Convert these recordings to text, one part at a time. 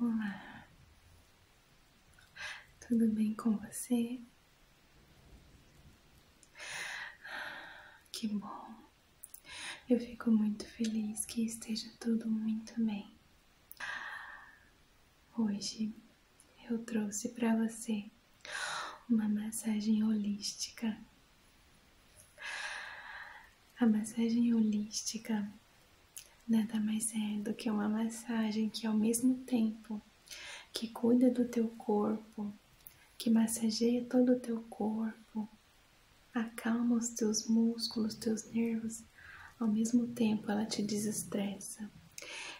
Olá, tudo bem com você? Que bom, eu fico muito feliz que esteja tudo muito bem. Hoje eu trouxe para você uma massagem holística a massagem holística nada mais é do que uma massagem que ao mesmo tempo que cuida do teu corpo, que massageia todo o teu corpo, acalma os teus músculos, teus nervos, ao mesmo tempo ela te desestressa.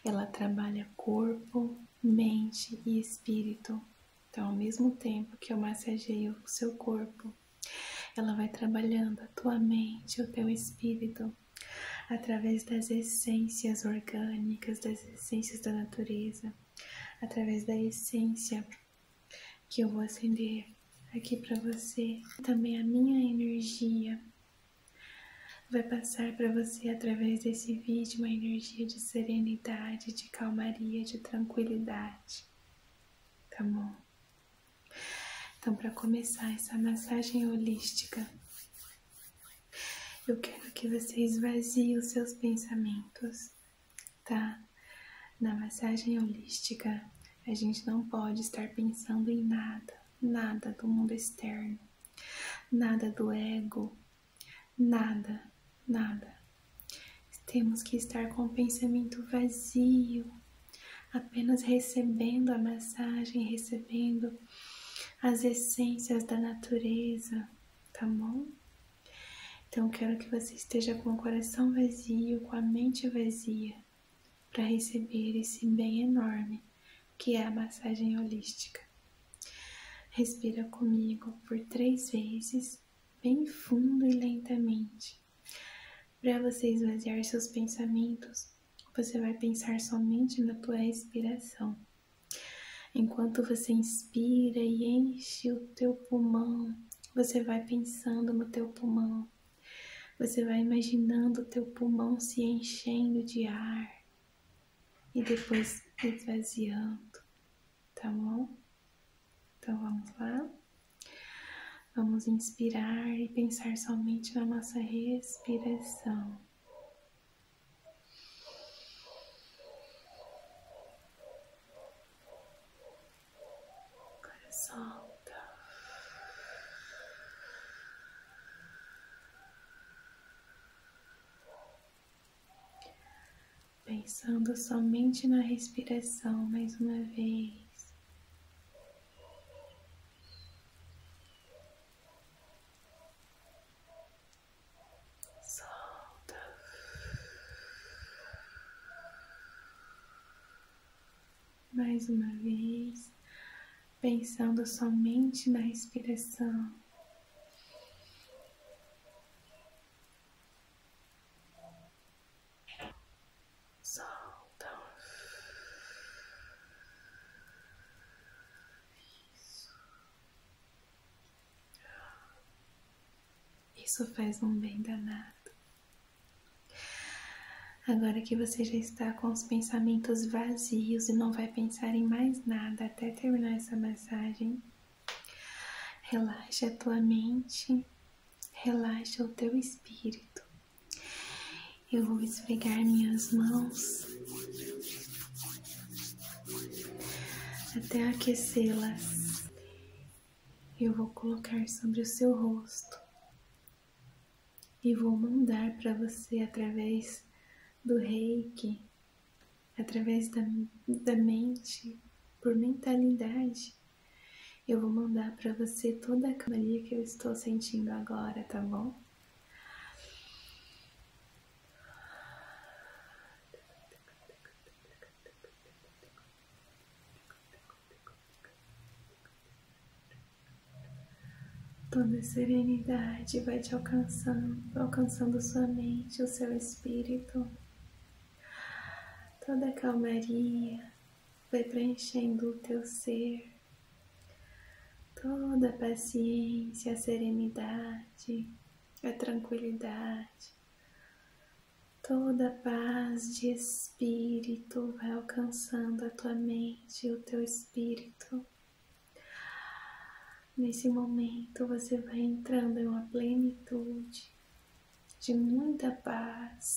Ela trabalha corpo, mente e espírito então, ao mesmo tempo que eu massageio o seu corpo, ela vai trabalhando a tua mente, o teu espírito, através das essências orgânicas, das essências da natureza, através da essência que eu vou acender aqui para você. Também a minha energia vai passar para você através desse vídeo uma energia de serenidade, de calmaria, de tranquilidade. Tá bom. Então, para começar essa massagem holística, eu quero que você esvazie os seus pensamentos, tá? Na massagem holística, a gente não pode estar pensando em nada, nada do mundo externo, nada do ego, nada, nada. Temos que estar com o pensamento vazio, apenas recebendo a massagem, recebendo as essências da natureza, tá bom? Então quero que você esteja com o coração vazio, com a mente vazia, para receber esse bem enorme que é a massagem holística. Respira comigo por três vezes bem fundo e lentamente. Para você esvaziar seus pensamentos, você vai pensar somente na tua respiração. Enquanto você inspira e enche o teu pulmão, você vai pensando no teu pulmão. Você vai imaginando o teu pulmão se enchendo de ar e depois esvaziando tá bom? Então vamos lá. Vamos inspirar e pensar somente na nossa respiração. Agora solta pensando somente na respiração mais uma vez. solta mais uma vez, pensando somente na respiração. Solta. Isso. Isso faz um bem danado. Agora que você já está com os pensamentos vazios e não vai pensar em mais nada até terminar essa massagem, Relaxa a tua mente, relaxa o teu espírito. Eu vou esfregar minhas mãos até aquecê-las. Eu vou colocar sobre o seu rosto e vou mandar para você através do reiki, através da, da mente, por mentalidade, eu vou mandar para você toda a calmaria que eu estou sentindo agora, tá bom? Toda a serenidade vai te alcançando, alcançando sua mente, o seu espírito. Toda calmaria vai preenchendo o teu ser, toda paciência, serenidade, a tranquilidade, toda paz de espírito vai alcançando a tua mente e o teu espírito. Nesse momento você vai entrando em uma plenitude, de muita paz.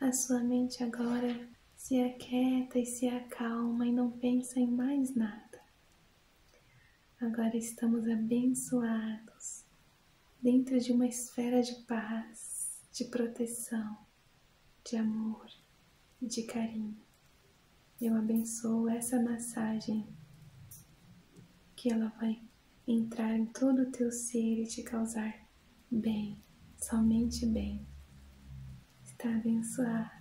A sua mente agora se aquieta e se acalma e não pensa em mais nada. Agora estamos abençoados dentro de uma esfera de paz, de proteção, de amor e de carinho. Eu abençoo essa massagem que ela vai entrar em todo o teu ser e te causar bem, somente bem. Está abençoado.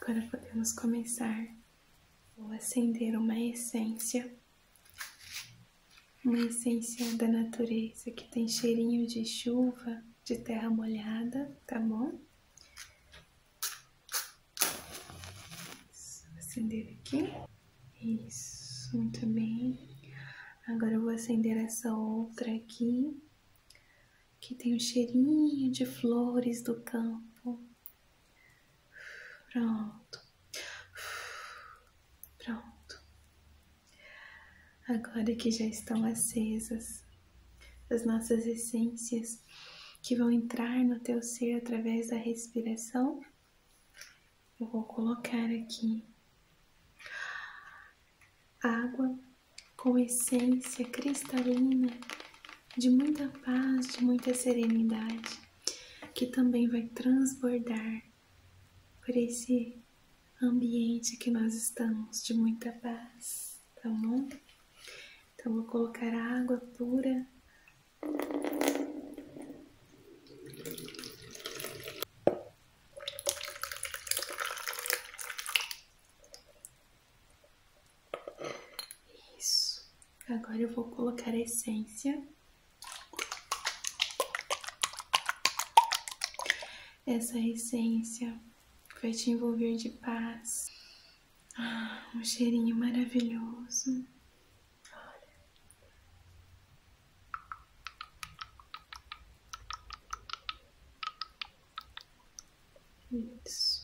Agora podemos começar. Vou acender uma essência uma essência da natureza que tem cheirinho de chuva, de terra molhada, tá bom? acender aqui. Isso, muito bem. Agora eu vou acender essa outra aqui, que tem um cheirinho de flores do campo. Pronto. Pronto. Agora que já estão acesas as nossas essências que vão entrar no teu ser através da respiração, eu vou colocar aqui água com essência cristalina de muita paz, de muita serenidade, que também vai transbordar por esse ambiente que nós estamos de muita paz, tá bom? Então vou colocar água pura. Isso. Agora eu vou colocar a essência. Essa essência vai te envolver de paz. Ah, um cheirinho maravilhoso. Olha. Isso.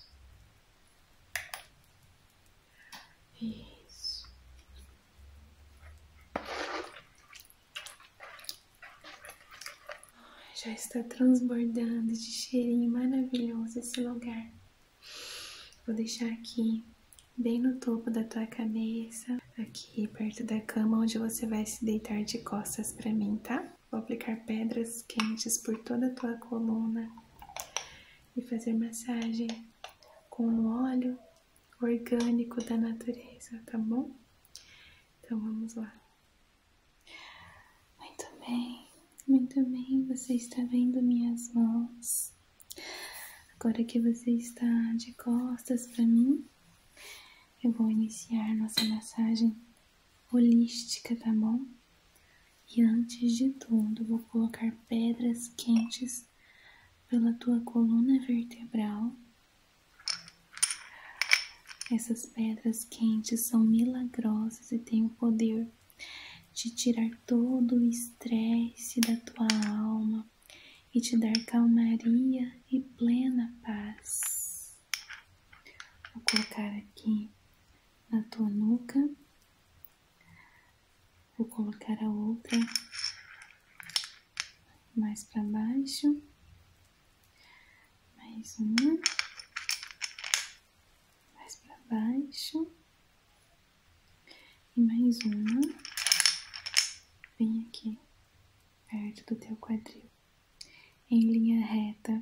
Já está transbordando de cheirinho maravilhoso esse lugar. Vou deixar aqui, bem no topo da tua cabeça, aqui perto da cama onde você vai se deitar de costas para mim, tá? Vou aplicar pedras quentes por toda a tua coluna e fazer massagem com o óleo orgânico da natureza, tá bom? Então vamos lá. Muito bem, muito bem. Você está vendo minhas mãos. Agora que você está de costas para mim, eu vou iniciar nossa massagem holística, tá bom? E antes de tudo, vou colocar pedras quentes pela tua coluna vertebral. Essas pedras quentes são milagrosas e têm o poder de tirar todo o estresse da tua alma e te dar calmaria e plena paz. Vou colocar aqui na tua nuca, vou colocar a outra mais para baixo, mais uma, mais para baixo e mais uma, vem aqui, perto do teu quadril, em linha reta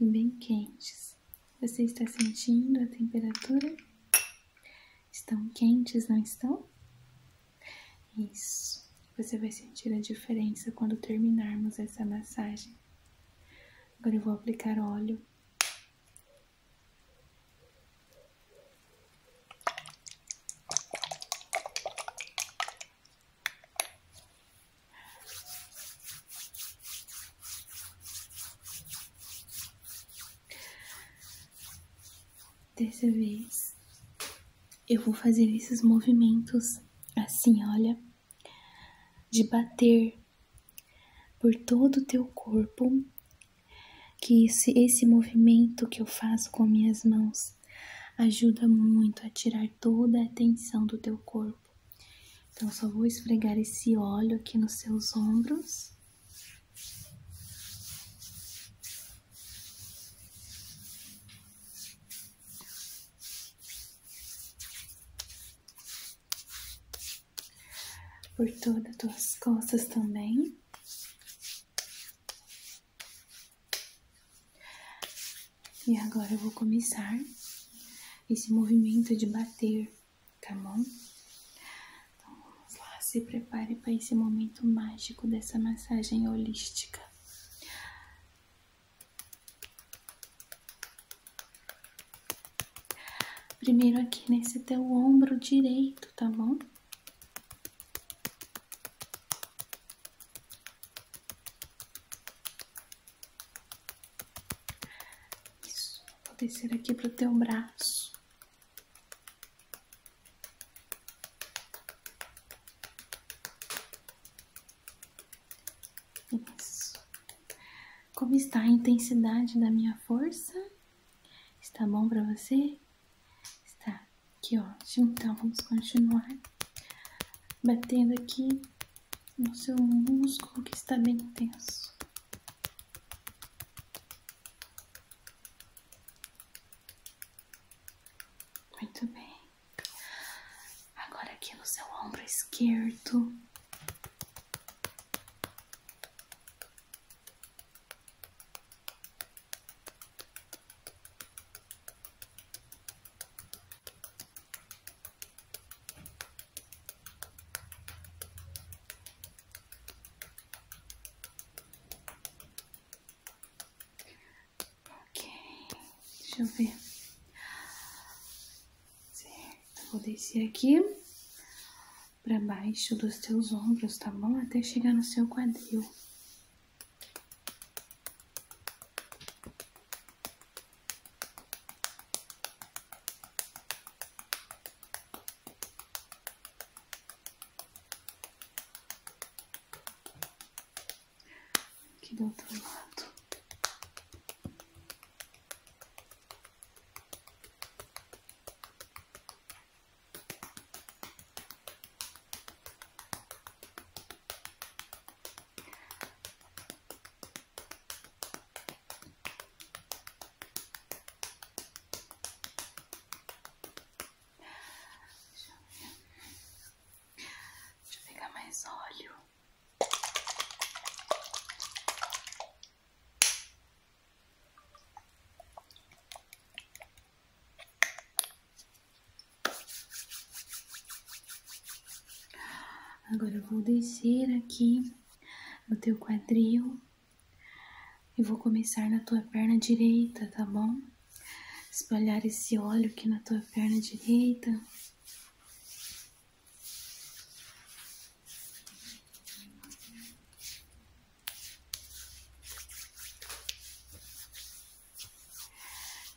e bem quentes. Você está sentindo a temperatura? Estão quentes, não estão? Isso. Você vai sentir a diferença quando terminarmos essa massagem. Agora eu vou aplicar óleo. Dessa vez, eu vou fazer esses movimentos assim, olha, de bater por todo o teu corpo, que esse, esse movimento que eu faço com minhas mãos ajuda muito a tirar toda a tensão do teu corpo. Então, só vou esfregar esse óleo aqui nos seus ombros por todas as costas também. E agora eu vou começar esse movimento de bater tá bom? Então vamos lá, se prepare para esse momento mágico dessa massagem holística. Primeiro aqui nesse teu ombro direito, tá bom? Isso, vou descer aqui pro teu braço. Isso. Como está a intensidade da minha força? Está bom para você? Está. Que ótimo. Então vamos continuar batendo aqui no seu músculo que está bem intenso. Muito bem. Agora aqui no seu ombro esquerdo. Ok, deixa eu ver. vou descer aqui para baixo dos teus ombros, tá bom? Até chegar no seu quadril. Aqui do outro lado. Deixa eu pegar mais óleo. Agora eu vou descer aqui no teu quadril eu vou começar na tua perna direita, tá bom? Espalhar esse óleo aqui na tua perna direita.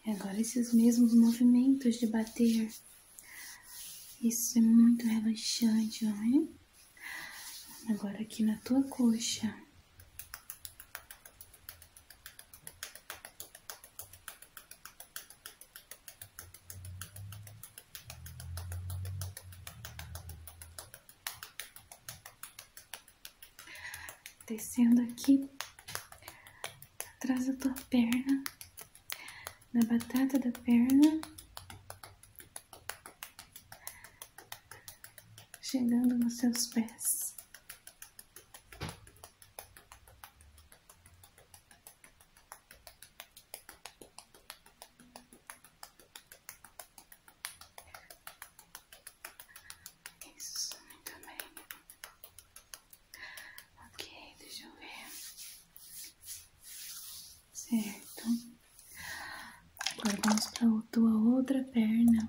E agora esses mesmos movimentos de bater. Isso é muito relaxante, não Agora aqui na tua coxa. Descendo aqui atrás da tua perna, na batata da perna chegando nos seus pés. Isso, muito bem. Ok, deixa eu ver. Certo. Agora vamos para a tua outra perna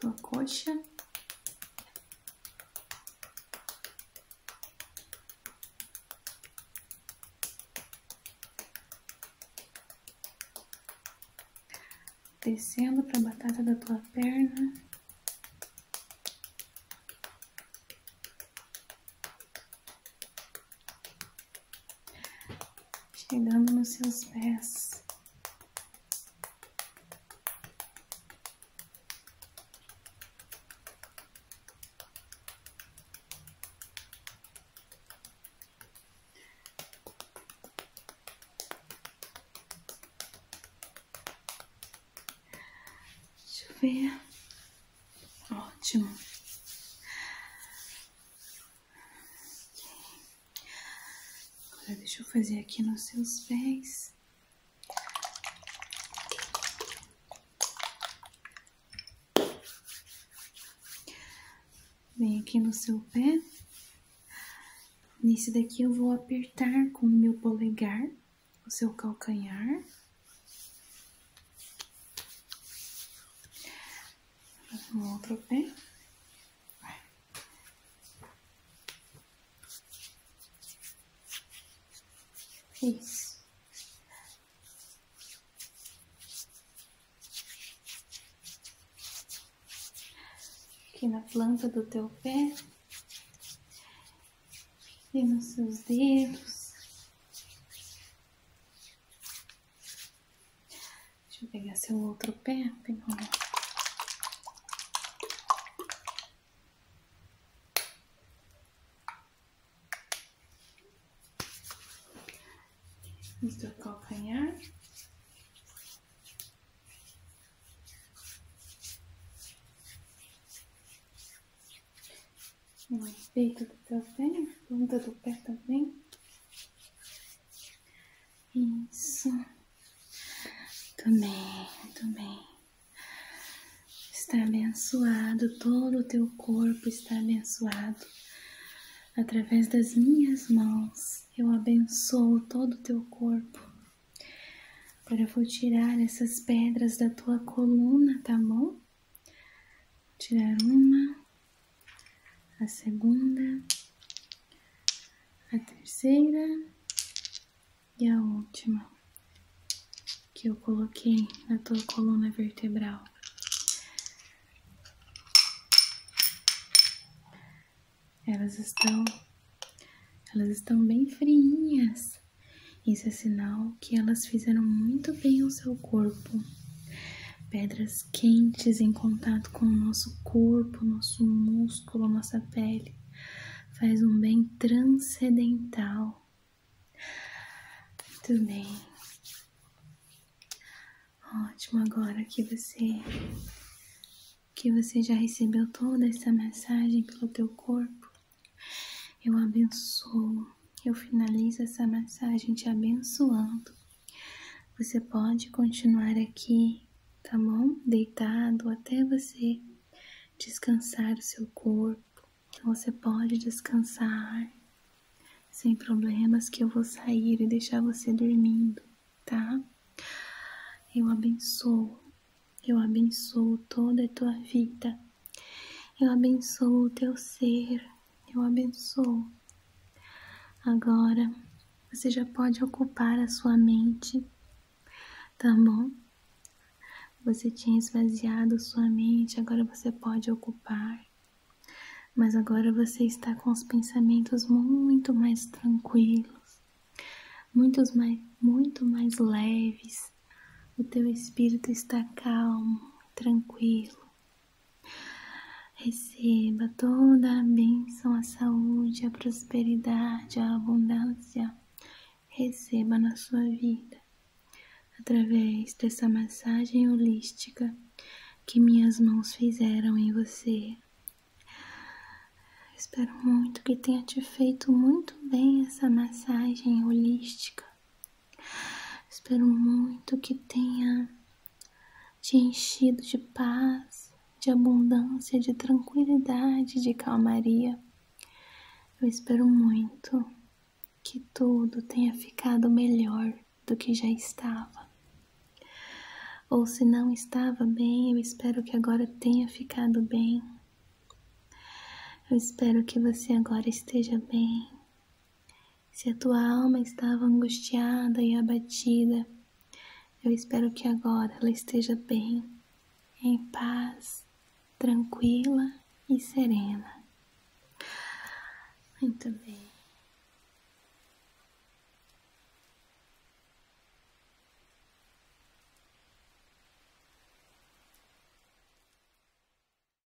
tua coxa. Descendo para a batata da tua perna chegando nos seus pés. Deixa Ótimo deixa eu fazer aqui nos seus pés. Vem aqui no seu pé. Nesse daqui eu vou apertar com o meu polegar o seu calcanhar outro pé. Isso. Aqui na planta do teu pé e nos seus dedos. Deixa eu pegar seu outro pé, é. trocar do calcanhar o efeito do teu pé, ponta do pé também. Isso. Também, também. Está abençoado, todo o teu corpo está abençoado. Através das minhas mãos, eu abençoo todo o teu corpo. Agora eu vou tirar essas pedras da tua coluna, tá bom? tirar uma, a segunda, a terceira e a última que eu coloquei na tua coluna vertebral. Elas estão elas estão bem friinhas. Isso é sinal que elas fizeram muito bem ao seu corpo pedras quentes em contato com o nosso corpo, nosso músculo, nossa pele. Faz um bem transcendental. Muito bem. Ótimo agora que você que você já recebeu toda essa mensagem pelo teu corpo. Eu abençoo eu finalizo essa massagem te abençoando. Você pode continuar aqui, tá bom? Deitado até você descansar o seu corpo. Então, você pode descansar sem problemas que eu vou sair e deixar você dormindo, tá? Eu abençoo, eu abençoo toda a tua vida. Eu abençoo o teu ser, eu abençoo. Agora você já pode ocupar a sua mente, tá bom? Você tinha esvaziado sua mente, agora você pode ocupar. Mas agora você está com os pensamentos muito mais tranquilos, muitos mais, muito mais leves. O teu espírito está calmo, tranquilo. Receba toda a bênção, a saúde, a prosperidade, a abundância. Receba na sua vida, através dessa massagem holística que minhas mãos fizeram em você. Espero muito que tenha te feito muito bem essa massagem holística Espero muito que tenha te enchido de paz, de abundância, de tranquilidade, de calmaria. Eu espero muito que tudo tenha ficado melhor do que já estava. Ou se não estava bem, eu espero que agora tenha ficado bem. Eu espero que você agora esteja bem, se a tua alma estava angustiada e abatida, eu espero que agora ela esteja bem, em paz, tranquila e serena. Muito bem.